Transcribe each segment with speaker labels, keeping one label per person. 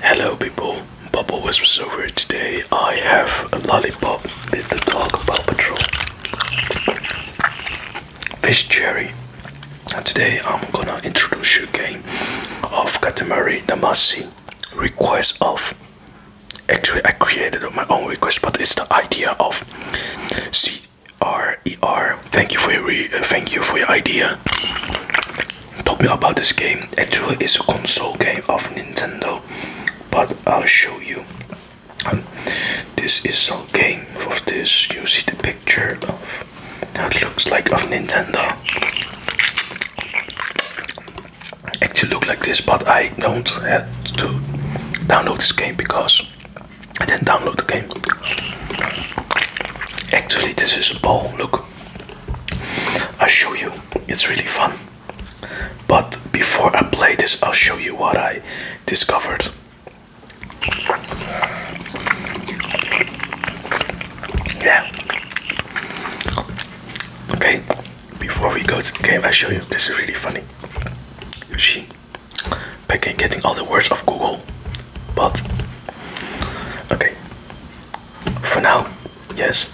Speaker 1: Hello people, Bubble was over today. I have a lollipop with the dog Paw Patrol. Fish Cherry. And today I'm gonna introduce you a game of Katamari Damacy. Request of. Actually I created my own request but it's the idea of C R E R. Thank you for uh, thank you for your idea told me about this game. Actually, it's a console game of Nintendo, but I'll show you. Um, this is a game of this. You see the picture of that looks like of Nintendo. Actually, look like this, but I don't have to download this game because I didn't download the game. Actually, this is a ball. Look, i show you. It's really fun. But before I play this, I'll show you what I discovered. Yeah. Okay, before we go to the game, i show you. This is really funny. You see, back getting all the words of Google. But, okay, for now, Yes,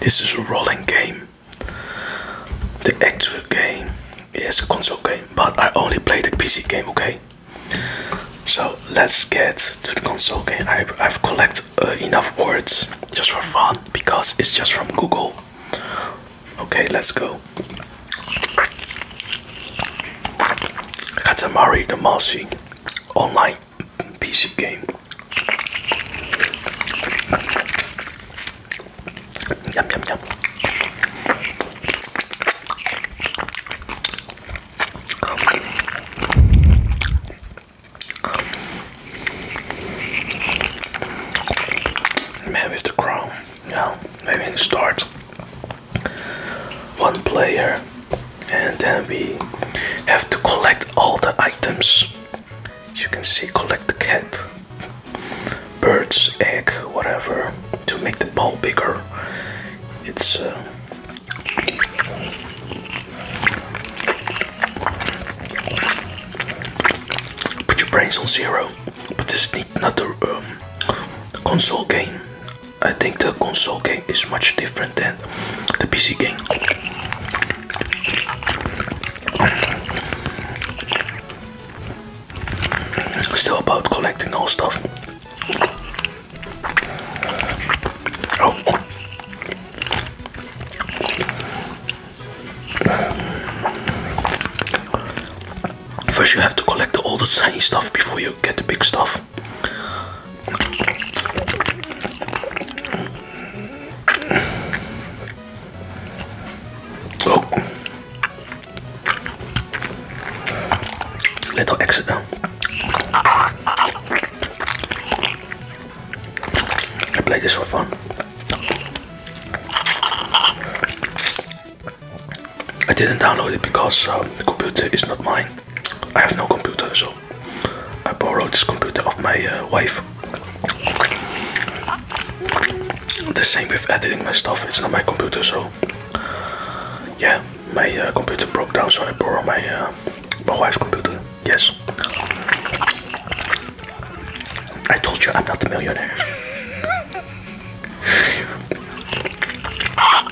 Speaker 1: this is a rolling game. The actual game is a console game, but I only played the PC game, okay? So let's get to the console game. I, I've collected uh, enough words just for fun because it's just from Google. Okay, let's go. Katamari Damacy Online PC game. Yum yum yum. Maybe it's the crown. No, maybe it starts one player and then we have to collect all the items. you can see, collect the cat, birds, egg, whatever, to make the ball bigger. It's uh, put your brains on zero. But this is not a um, console game. I think the console game is much different than the PC game. Still about collecting all stuff. Oh. First, you have to collect all the tiny stuff before you get the big stuff. Oh. Little exit now. I play this for fun. I didn't download it because uh, the computer is not mine. I have no computer, so I borrowed this computer of my uh, wife. The same with editing my stuff, it's not my computer, so yeah, my uh, computer broke down, so I borrowed my, uh, my wife's computer. Yes, I told you I'm not a millionaire.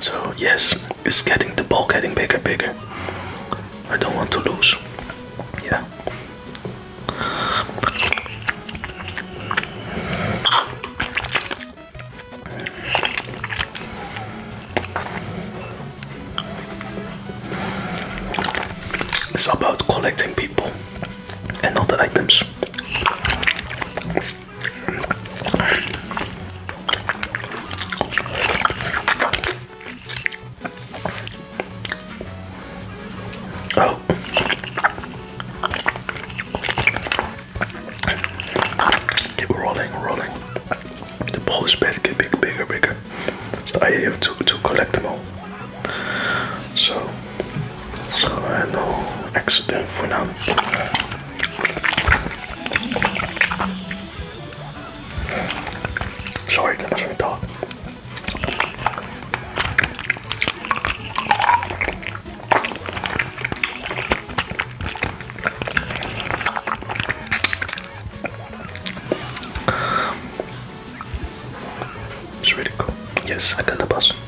Speaker 1: So yes, it's getting the ball getting bigger, bigger. I don't want to lose. Yeah. It's about collecting people and other items. Oh. Keep rolling, rolling. The ball bed get bigger, bigger, bigger. It's the idea to, to collect them all so so no accident for now sorry that was my dog it's really cool. Yes, I got the bus.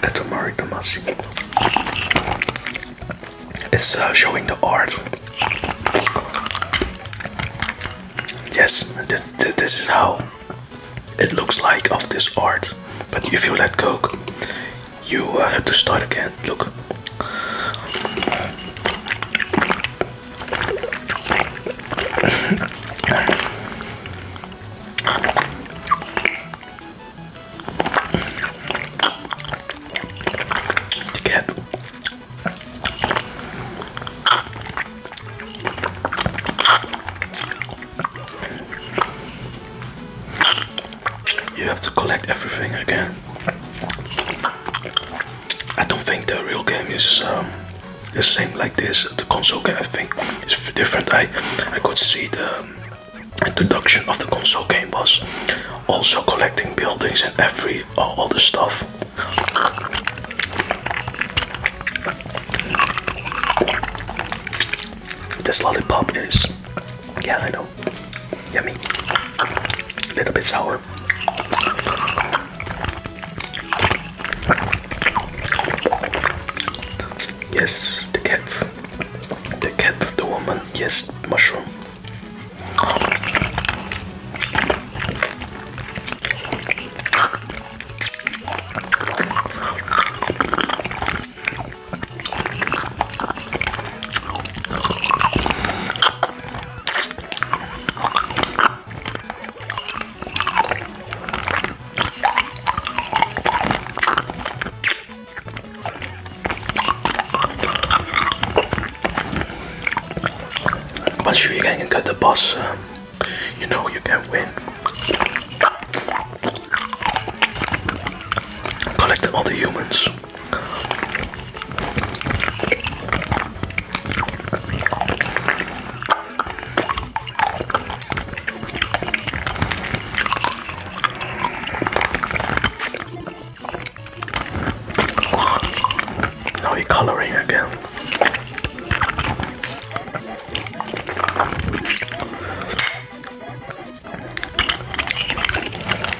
Speaker 1: That's Amari Tomasi. It's uh, showing the art. Yes, this is how it looks like of this art. But if you let go, you uh, have to start again. Look. You you have to collect everything again. I don't think the real game is um, the same like this. The console game, I think, is different. I I could see the um, introduction of the console game was also collecting buildings and every all, all the stuff. This lollipop is, yeah, I know. Yummy. A little bit sour. Yes, the cat. The cat, the woman, yes, mushroom. But sure you can get the boss, uh, you know you can win. Collect all the humans. Now he's coloring again.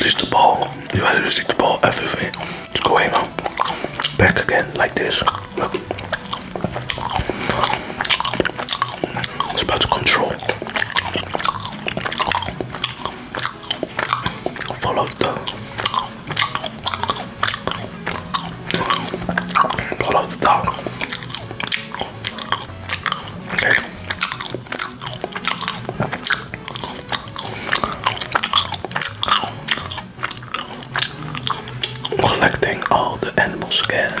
Speaker 1: Just the ball. You have to just stick the ball everything. It's going on. Back again like this. Look. It's about to control. Follow the follow the Collecting all the animals again.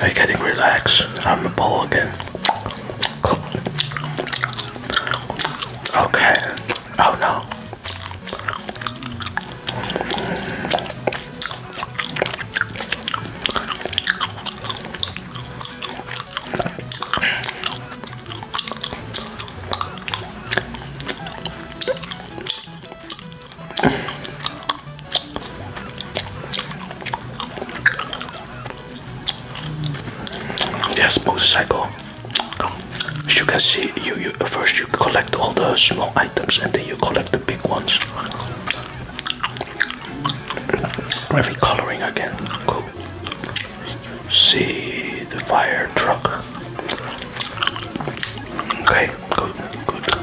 Speaker 1: I getting relaxed I'm a ball again. Okay. Oh no. Yes, motorcycle. As you can see, you, first you collect all the small items and then you collect the big ones. Every coloring again. Cool. See the fire truck. Okay, good, good.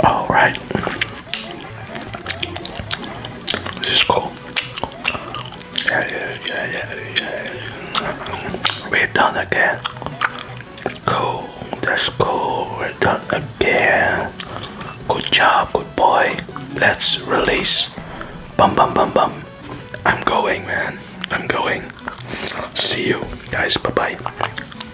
Speaker 1: All right. This is cool. Yeah, yeah, yeah, yeah, yeah. We're done again. Cool. That's cool. We're done again. Good job, good boy. Let's release. Bum, bum, bum, bum. I'm going, man. I'm going. See you guys. Bye bye.